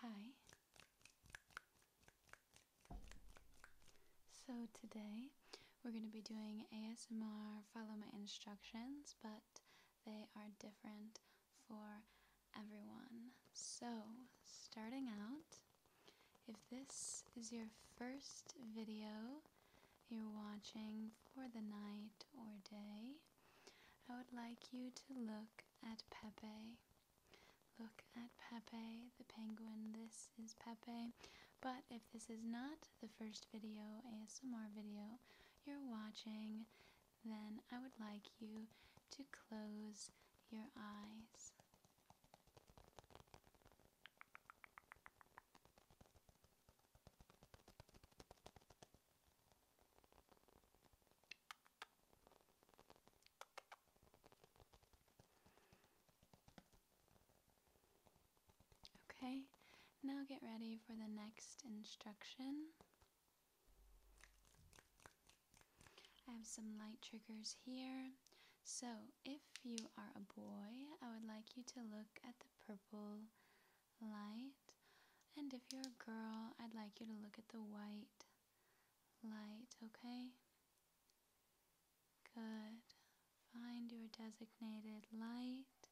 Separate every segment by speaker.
Speaker 1: Hi. So today we're going to be doing ASMR follow my instructions, but they are different for everyone. So, starting out, if this is your first video you're watching for the night or day, I would like you to look at Pepe. Look at Pepe the penguin. This is Pepe. But if this is not the first video, ASMR video, you're watching, then I would like you to close your eyes. Okay, now get ready for the next instruction. I have some light triggers here. So, if you are a boy, I would like you to look at the purple light. And if you're a girl, I'd like you to look at the white light, okay? Good. Find your designated light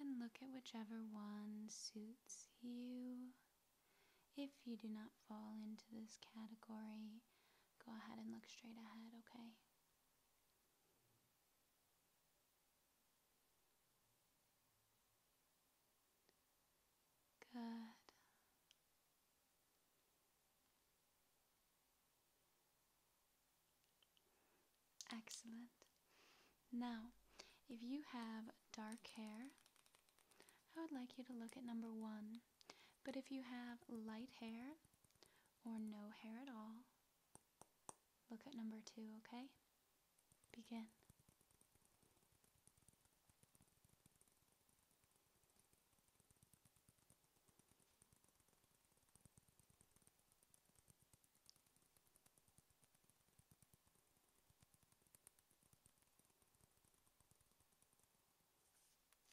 Speaker 1: and look at whichever one suits you. If you do not fall into this category, go ahead and look straight ahead, okay? Good. Excellent. Now, if you have dark hair, I would like you to look at number one. But if you have light hair or no hair at all, Look at number two, okay? Begin.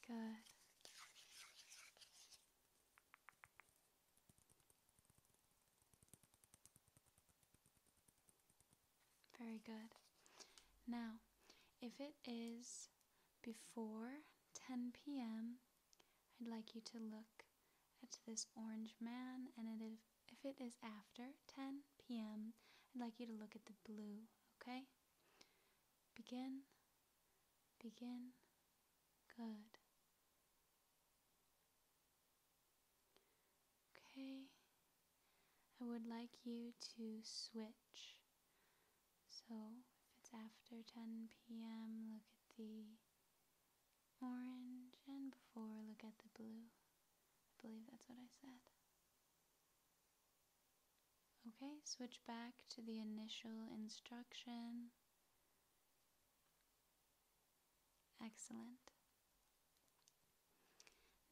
Speaker 1: Good. Very good. Now, if it is before 10 p.m., I'd like you to look at this orange man, and it is, if it is after 10 p.m., I'd like you to look at the blue, okay? Begin Begin. Good. Okay. I would like you to switch. So if it's after 10 p.m., look at the orange, and before, look at the blue. I believe that's what I said. Okay, switch back to the initial instruction. Excellent.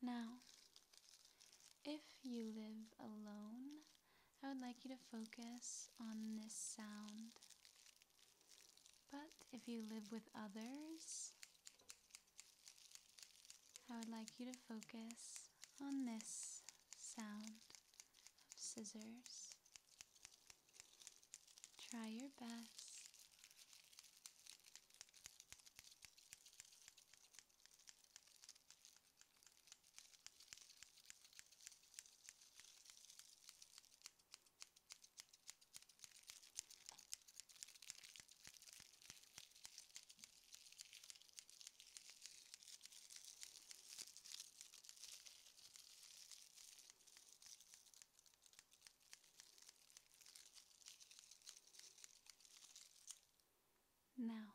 Speaker 1: Now, if you live alone, I would like you to focus on this sound. But if you live with others, I would like you to focus on this sound of scissors. Try your best. Now,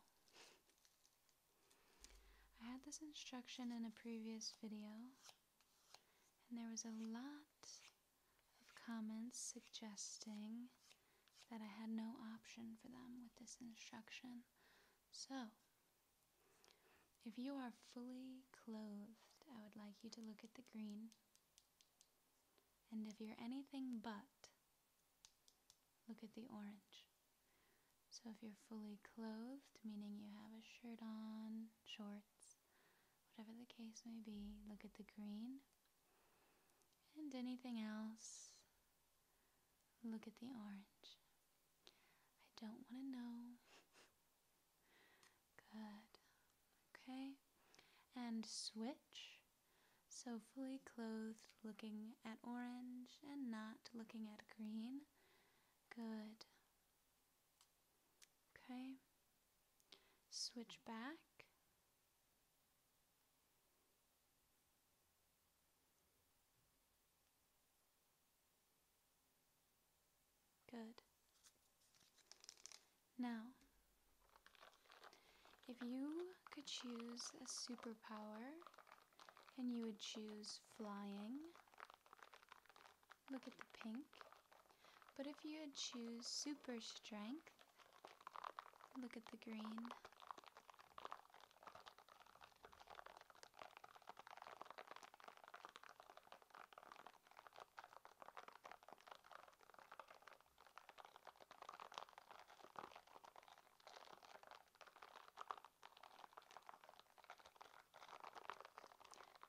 Speaker 1: I had this instruction in a previous video, and there was a lot of comments suggesting that I had no option for them with this instruction. So, if you are fully clothed, I would like you to look at the green. And if you're anything but, look at the orange. So if you're fully clothed, meaning you have a shirt on, shorts, whatever the case may be, look at the green. And anything else, look at the orange. I don't want to know Good. Okay. And switch. So fully clothed, looking at orange and not looking at green. Good. Okay. Switch back. Good. Now, if you could choose a superpower and you would choose flying, look at the pink. But if you would choose super strength, look at the green.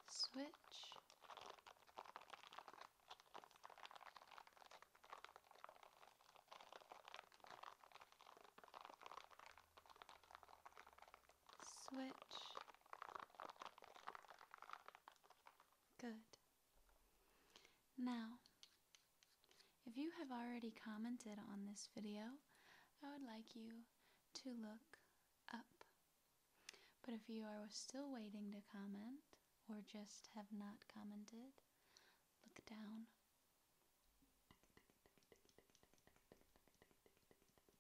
Speaker 1: Switch switch. Good. Now, if you have already commented on this video, I would like you to look up. But if you are still waiting to comment, or just have not commented, look down.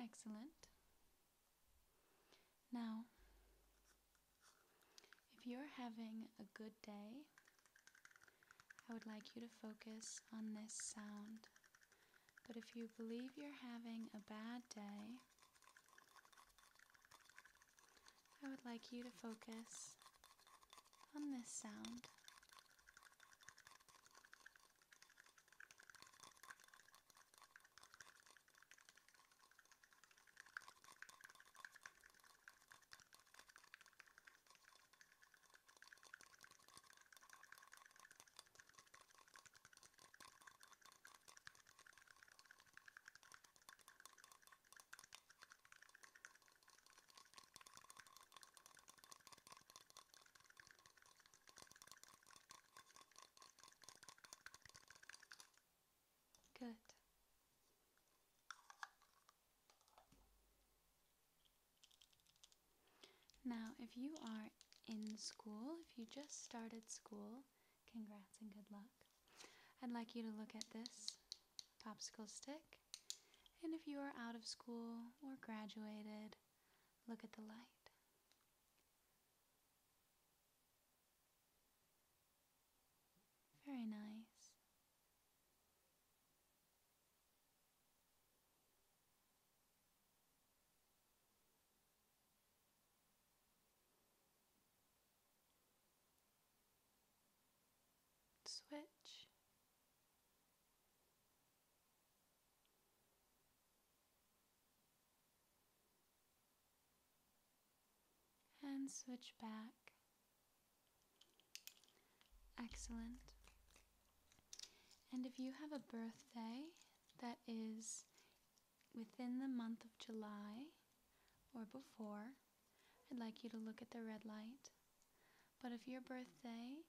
Speaker 1: Excellent. Now, if you're having a good day, I would like you to focus on this sound. But if you believe you're having a bad day, I would like you to focus on this sound. Good. Now, if you are in school, if you just started school, congrats and good luck. I'd like you to look at this popsicle stick. And if you are out of school or graduated, look at the light. Very nice switch. And switch back. Excellent. And if you have a birthday that is within the month of July or before, I'd like you to look at the red light. But if your birthday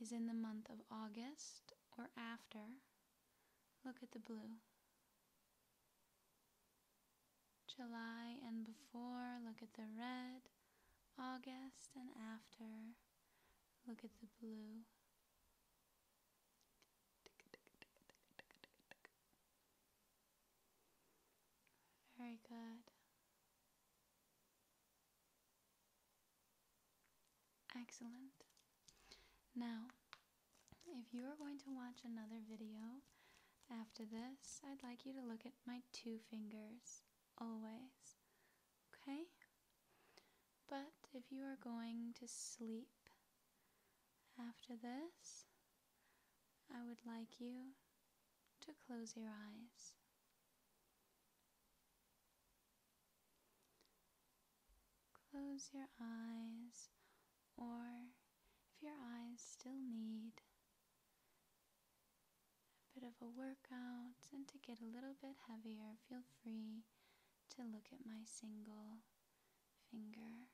Speaker 1: is in the month of August or after, look at the blue. July and before, look at the red. August and after, look at the blue. Very good. Excellent. Now, if you are going to watch another video after this, I'd like you to look at my two fingers always. Okay? But if you are going to sleep, after this, I would like you to close your eyes. Close your eyes, or if your eyes still need a bit of a workout and to get a little bit heavier, feel free to look at my single finger.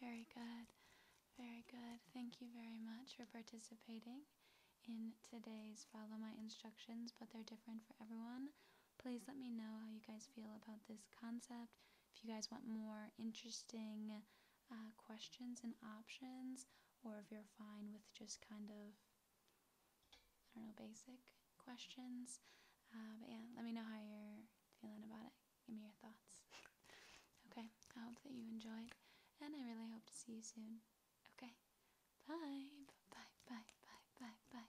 Speaker 1: Very good. Very good. Thank you very much for participating in today's Follow My Instructions, but they're different for everyone please let me know how you guys feel about this concept. If you guys want more interesting uh, questions and options, or if you're fine with just kind of, I don't know, basic questions. Uh, but yeah, let me know how you're feeling about it. Give me your thoughts. okay, I hope that you enjoyed, and I really hope to see you soon. Okay, bye, bye, bye, bye, bye, bye.